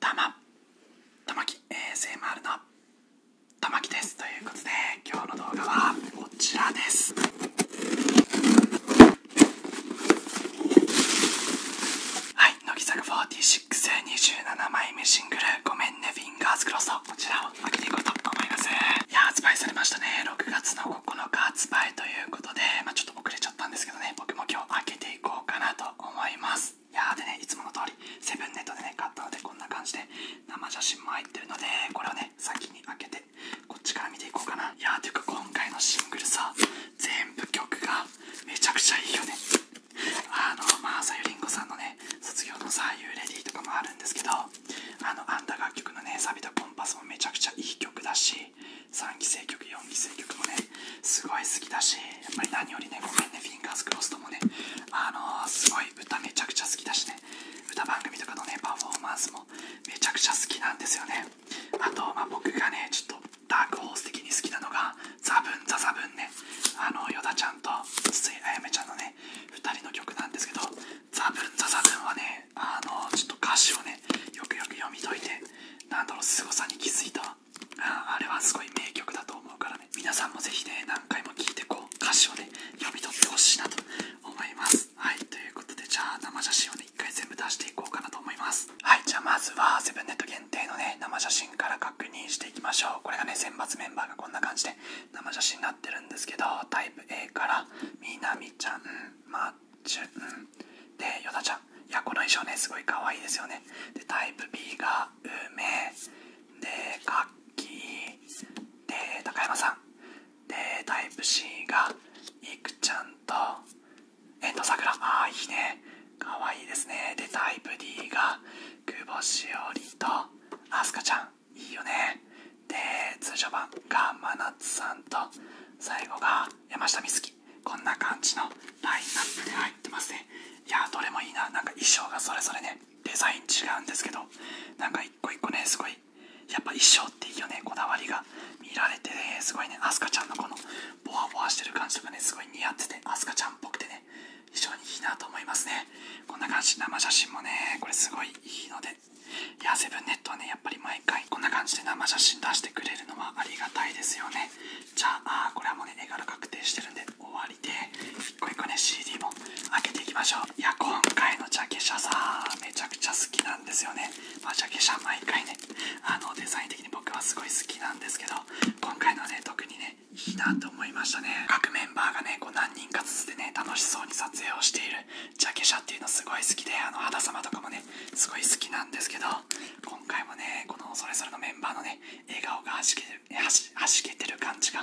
玉玉木 ASMR の玉木ですということで今日の動画はこちらですはい乃木坂4627枚目シングル「ごめんねフィンガーズクロス」こちらを開けていこうと思いますいや発売されましたね6月の9日発売ということでまあちょっと遅れちゃったんですけどね僕も今日開けていこうかなと思いますいやーでねいつもの通りセブンネットでね買ったのでこんな感じで生写真も入ってるのでこれをね先に開けてこっちから見ていこうかないやーていうか今回のシングルさ全部曲がめちゃくちゃいいよねあのまあさゆりんごさんのね卒業のさ「ユーレディ」とかもあるんですけどあのアンダー楽曲のねサビとコンパスもめちゃくちゃいい曲だし3期生曲4期生曲もねすごい好きだしやっぱり何よりねごめんねフィンガーズクロスともねあのすごい歌めちゃくちゃ好きだしね歌番組とかのねパフォーマンスもめちゃくちゃ好きなんですよねあとまあ僕がねちょっとダークホース的に好きなのがザブンザザブンねあのヨダちゃんと筒井あやめちゃんのね2人の曲なんですけどザブンザザブンはねあのちょっと歌詞をねよくよく読み解いてなんだろう凄さに気づいたあれはすごい名曲だと思うからね皆さんもぜひね何回も聴いてこう歌詞をね読み取ってほしいなと思いますはいということでじゃあ生写真をね一回全部出していこうかなと思いますはいじゃあまずはセブンネット限定のね生写真から確認していきましょうこれがね選抜メンバーがこんな感じで生写真になってるんですけどタイプ A からみなみちゃんまちゅうでヨタちゃんいやこの衣装ねすごい可愛いですよねでタイプ B が梅でカッキで高山さんでタイプ C がいくちゃんと遠藤さくらああいいね可愛いですねでタイプ D が久保しおりとあすかちゃんいいよねで通常版が真夏さんと最後が山下美月こんな感じのラインナップで入ってますねいやどれもいいななんか衣装がそれぞれねデザイン違うんですけどなんか一個一個ねすごいやっぱ衣装っていいよねこだわりが見られて、ね、すごいねあすかちゃんのこのボワボワしてる感じとかねすごい似合っててあすかちゃんっぽくてね非常にいいなと思いますねこんな感じ生写真もねこれすごいいいのでいやセブンネットねやっぱ毎回こんな感じで生写真出してくれるのはありがたいですよねじゃあこれはもうね絵柄確定してるんで終わりで一個一個ね CD も開けていきましょういや今回のジャケ写さめちゃくちゃ好きなんですよねまジャケ写毎回ねあのデザイン的に僕はすごい好きなんですけど今回のね特にねいいなと思いましたね各メンバーがねこう何人かずつでね楽しそうに撮影をしているジャケ写っていうのすごい好きであの肌様とかもねすごい好きなんですけど今回もねこのそれぞれのメンバーのね笑顔が弾けてるはしはしけてる感じが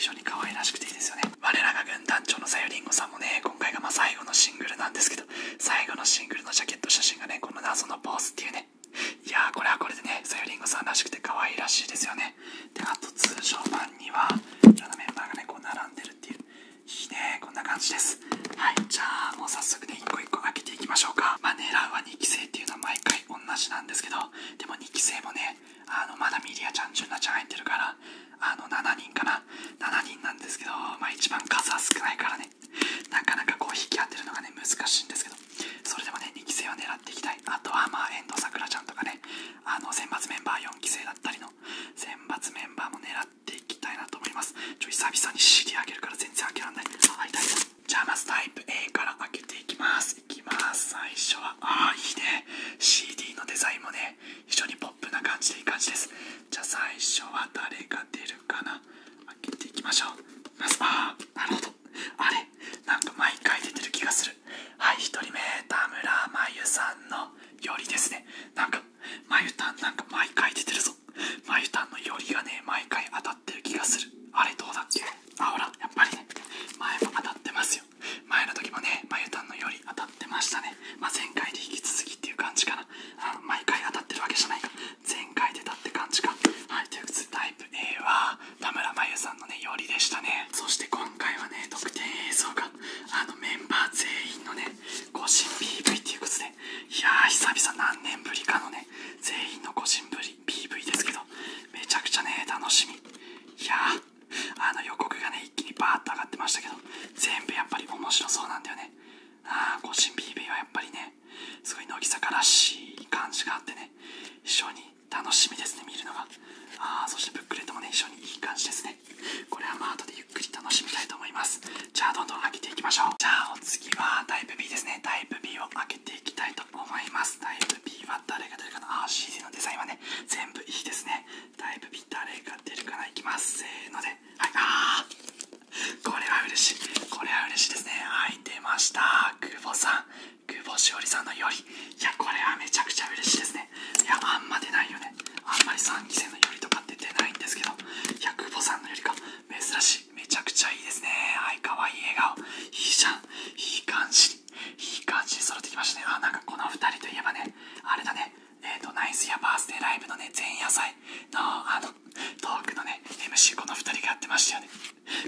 非常に可愛らしくていいですよね我らが軍団長のさよりんごさんもね今回がま最後のシングルなんですけど最後のシングルのジャケット写真がねこの謎のポーズっていうねいやーこれはこれでねさよりんごさんらしくて可愛いらしいですよねであと通常版には、いろんなメンバーがねこう並んでるっていういいねこんな感じですはいじゃあもう早速ね1個1個開けていきましょうかまあ狙うは2期生っていうのは毎回同じなんですけどでも2期生もねあのまだミリアちゃん純奈ちゃん入ってるからあの7人かな7人なんですけどまあ一番数は少ないからねなかなかこう引き当てるのがね難しいんですけどそれでもね2期生は狙っていきたいあとはまあ遠藤さくらちゃんとかねあの選抜メンバー4期生だったりの選抜メンバーも狙っってきたいなと思います久々に CD 開るから全然開けられないじゃあまずタイプ A から開けていきますいきます最初はああいいね CD のデザインもね非常にポップな感じでいい感じですじゃあ最初は誰が出るかな開けていきましょうああなるほどあれなんか毎回出てる気がするはい1人目田村真由さんのよりですねなんかまゆたんなんか毎回出てるぞまゆたんのよりがね毎回当たってる気がするあれどうだっけあほらやっぱりね前も当たってますよ前の時もねまゆたんのより当たってましたね、ま前回で引き続きっていう感じかなあの毎回当たってるわけじゃないか前回出たって感じかはいということタイプ A は田村まゆさんのねよりでしたねそして今回はね特典映像があのメンバー全員のね個人 PV っていうことでいやー久々何年ぶりかのね全員の個人ぶり PV ですけどめちゃくちゃね楽しみいやーあの予告がね一気にバーッと上がってましたけど全部やっぱり面白そうなんだよねああ個人 PV はやっぱりねすごい乃木坂らしい感じがあってね一緒に楽しみですね見るのがああそしてブックレットもね一緒にいい感じですねこれはまあ後でゆっくり楽しみたいと思いますじゃあどんどん開けていきましょうじゃあお次はタイプ B ですねタイプ B を開けていきたいと思いますタイプ B は誰が出るかなあ CD のデザインはね全部いいですねタイプ B 誰が出るかないきますせーのではいあーこれは嬉しいこれは嬉しいですねはい出ました久保さん久保しおりさんのよりいやこれはめちゃくちゃ嬉しいですねいやあんま出ないよねあんまり3期生のよりとかって出ないんですけどいや久保さんのよりか珍しいめちゃくちゃいいですねはいかわいい笑顔いいじゃんいい感じいい感じに揃ってきましたねあなんかこの2人といえばねあれだねえっ、とナイスやバースデーライブのね前夜祭のあのトークのね MC この2人がやってましたよね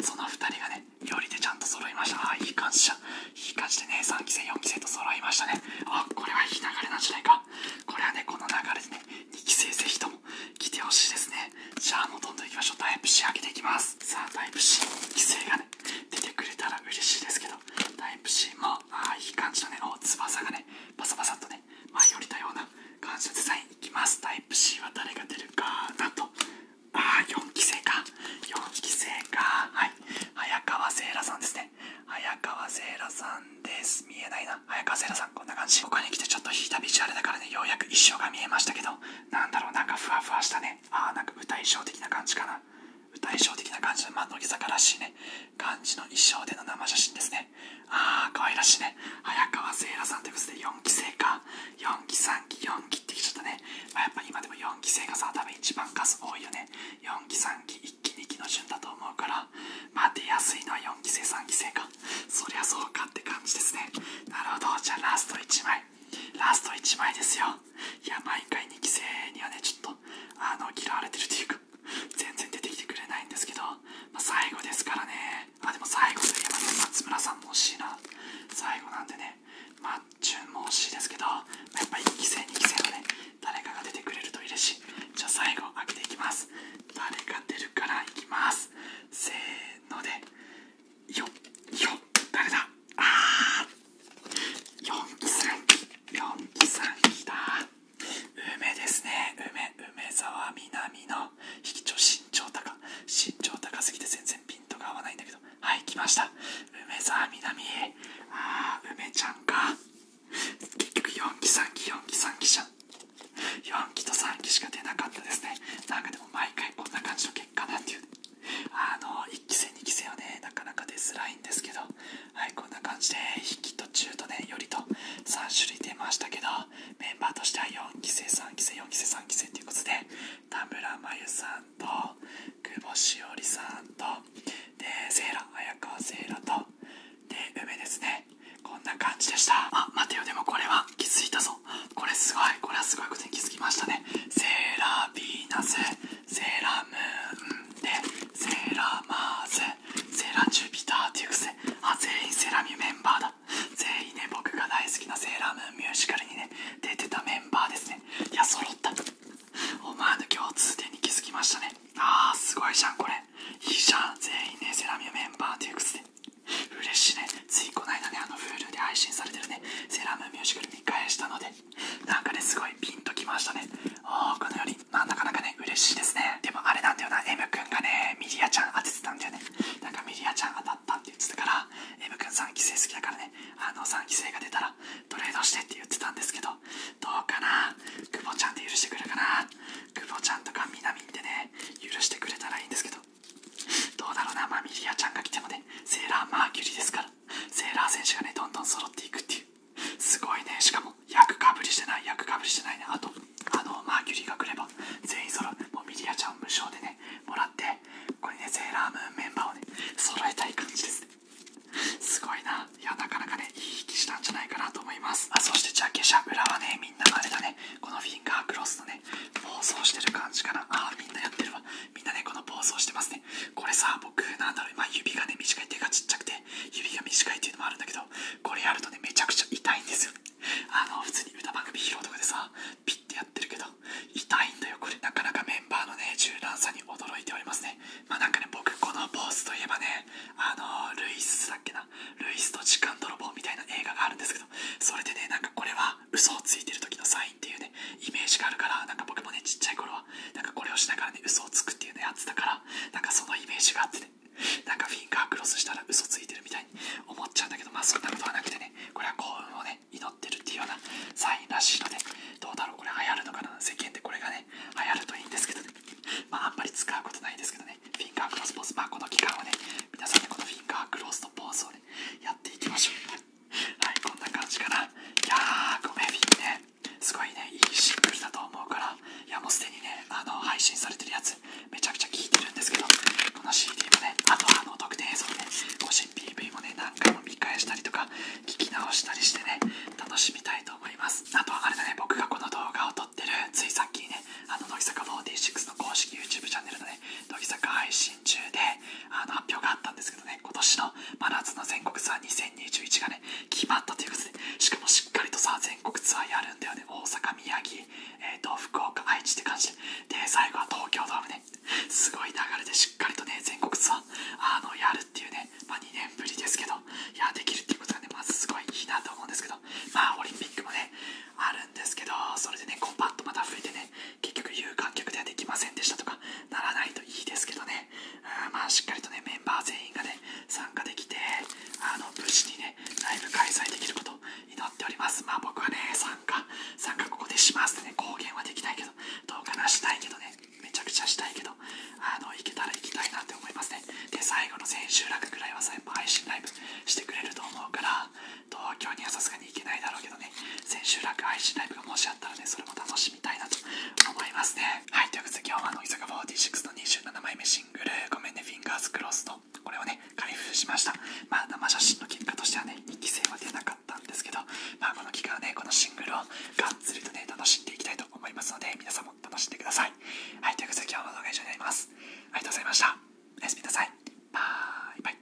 その2人がね料理でちゃんと揃いましたああ、いい感じじゃんいい感じでね、3期生、4期生と揃いましたね。あ、これはいい流れなんじゃないか。これはね、この流れでね、2期生ぜひとも来てほしいですね。じゃあ、もうどんどんいきましょう。タイプ C 開けていきます。さあ、タイプ C、2期生がね、出てくれたら嬉しいですけど、タイプ C も、ああ、いい感じのね、翼がね、パサパサっとね、まあ、よりたような感じのデザインいきます。タイプ C は誰が出るかなと。ああ4期生か4期生かはい早川聖羅さんですね早川聖羅さんです見えないな早川聖羅さんこんな感じ他に来てちょっと引いたビジュアルだからねようやく衣装が見えましたけどなんだろうなんかふわふわしたねああなんか歌衣装的な感じかな歌衣装的な感じの、まあ、乃坂らしいね感じの衣装での生写真ですねああ可愛らしいね早川聖羅さんってこ4期生か4期3期4期ってきちゃったね、あ、やっぱ今でも4 4期生がさ多分一番数多いよね4期3期1期2期の順だと思うから待てやすいのは4期生3期生かそりゃそうかって感じですねなるほどじゃあラスト1枚ラスト1枚ですよいや毎回2期生にはねちょっとあの嫌われてるというか全然出てきてくれないんですけど、まあ、最後ですからねあでも最後といえばね松村さんも惜しいな最後なんでねまあ注文惜しいですけどやっぱり1期生2期生のね誰かが出てくれると嬉しいじゃあ最後開けていきます誰が出るからいきますせーのでよっよっ誰だあー4期3ん4期さんき梅ですね梅梅沢みなみの引き身長高身長高すぎて全然ピントが合わないんだけどはい来ました梅沢みなみあ梅ちゃんか結局4期3期4期3期じゃん4期と3期しか出なかったですねなんかでも毎回こんな感じの結果なんていうあの1期生2期生はねなかなか出づらいんですけどはいこんな感じで引きと中とねよりと3種類出ましたけどメンバーとしては4期生3期生4期生3期生ということで田村真由さんと久保しおりさんとでセーラ綾川セーラとで梅ですねこんな感じでしたあ待てよでもこれは気づいたぞこれすごいこれはすごいことに気づきましたねセーラーヴィーナスセーラームーンでセーラーマーズセーラージュピターっていうくせあ全員セラミメンバーだた全員ね僕が大好きなセーラームーンミュージカルにね出てたメンバーですねいや揃った思わぬ共通点に気づきましたねあーすごいじゃんこれいいじゃん全員ねセラミューメンバーという靴で嬉しいねついこの間ねあの Hulu で配信されてるねセーラームーンミュージカル見返したのでなんかねすごいピンときましたねおーこのよりまあなかなかね嬉しいですねでもあれなんだよな M 君がねミリアちゃん当ててたんだよねなんかミリアちゃん当たったっから「M 君3期生好きだからねあの3期生が出たらトレードして」って言ってたんですけどどうかな久保ちゃんで許してくれるかな久保ちゃんとかみなみね許してくれたらいいんですけどどうだろうなまミリアちゃんが来てもねセーラーマーキュリーですからセーラー選手がねどんどん揃っていくっていうすごいねしかも役かぶりしてない役かぶりしてないなとあのマーキュリーが来れば全員揃うもうミリアちゃん無償でねもらってこれねセーラームーンメンバーをね揃えたい感じですすごいないやなかなかねいい引きしたんじゃないかなと思いますあそしてジャケシャ裏はねみんなのあれだねこのフィンガークロスのね暴走してる感じかなあみんなやってるわみんなねこの暴走してますねこれさ僕なんだろう、今指がね短い手がちっちゃくて指が短いっていうのもあるんだけどこれやるとねめちゃくちゃ痛いんですよあの普通に歌番組披露とかでさピッてやってるけど痛いんだよこれなかなかメンバーのね柔軟さに驚いておりますねまあなんかね僕この坊主といえばねあのルイスだっけなルイスと時間泥棒みたいな映画があるんですけどそれでねなんかこれは嘘をついてる時のサインっていうねイメージがあるからなんか僕もねちっちゃい頃はなんかこれをしながらね嘘をつくっていうのやってたからなんかそのイメージがあってねなんかフィンガークロスしたら嘘ついてるみたいに思っちゃうんだけどまあそんなことはなくてねこれは幸運をね祈ってるっていうようなサインらしいのでどうだろうこれ流行るのかな世間でこれがね流行るといいんですけどねまああんまり使うことないんですけどねフィンガークロスポーズまあこの期間をね皆さんでこのフィンガークロスのポーズをねやっていきましょうはいこんな感じかないやーごめんフィンねすごいねいいシンプルだと思うからいやもうすでにねあの配信されてるやつめちゃくちゃ聞いてるんですけどこの CD もねあとあの特定映像で、ね、個人 PV もね何回も見返したりとか聞き直したりしてね楽しみたいと思いますあとはあれだね僕がこの動画を撮ってるついさっきねあの乃木坂46の公式 YouTube チャンネルのね乃木坂配信中であの発表があったんですけどね今年の真夏の全国ツアー2021がね決まったということでしかもしっかりとさ全国ツやるんだよね大阪宮城、えー、と福岡愛知って感じで最後は東京ドームですごい流れでしっかりとね全国ツアーあのやるっていうね、ま2年ぶりですけどいやできるっていことがねまずすごいいいなと思うんですけどまあオリンピックもねあるんですけどそれでねこうパッとまた増えてね結局有観客ではできませんでしたとかならないといいですけどねうんまあしっかりとねメンバー全員がね参加できてあの無事にねライブ開催できること祈っておりますまあ僕はね参加参加ここでしますってね公言はできないけどどうかなしたいけどねめちゃくちゃしたいけどあの行けたら行きたいなって思いますねで最後の千秋楽くらいは最後配信ライブしてくれると思うから東京にはさすがに行けないだろうけどね千秋楽配信ライブがもしあったらねそれも楽しみたいなと思いますねはいということで今日は乃木坂46の27枚目シングル「ごめんねフィンガーズクロスと」とこれをね開封しましたまあ生写真の結果としてはね2期生は出なかったんですけどまあこの期間はねこのシングルをがっつりとね楽しんでいきたいと思いますので皆さんも楽しんでくださいはいということで今日の動画以上になりますありがとうございましたおやすみなさいバイバイ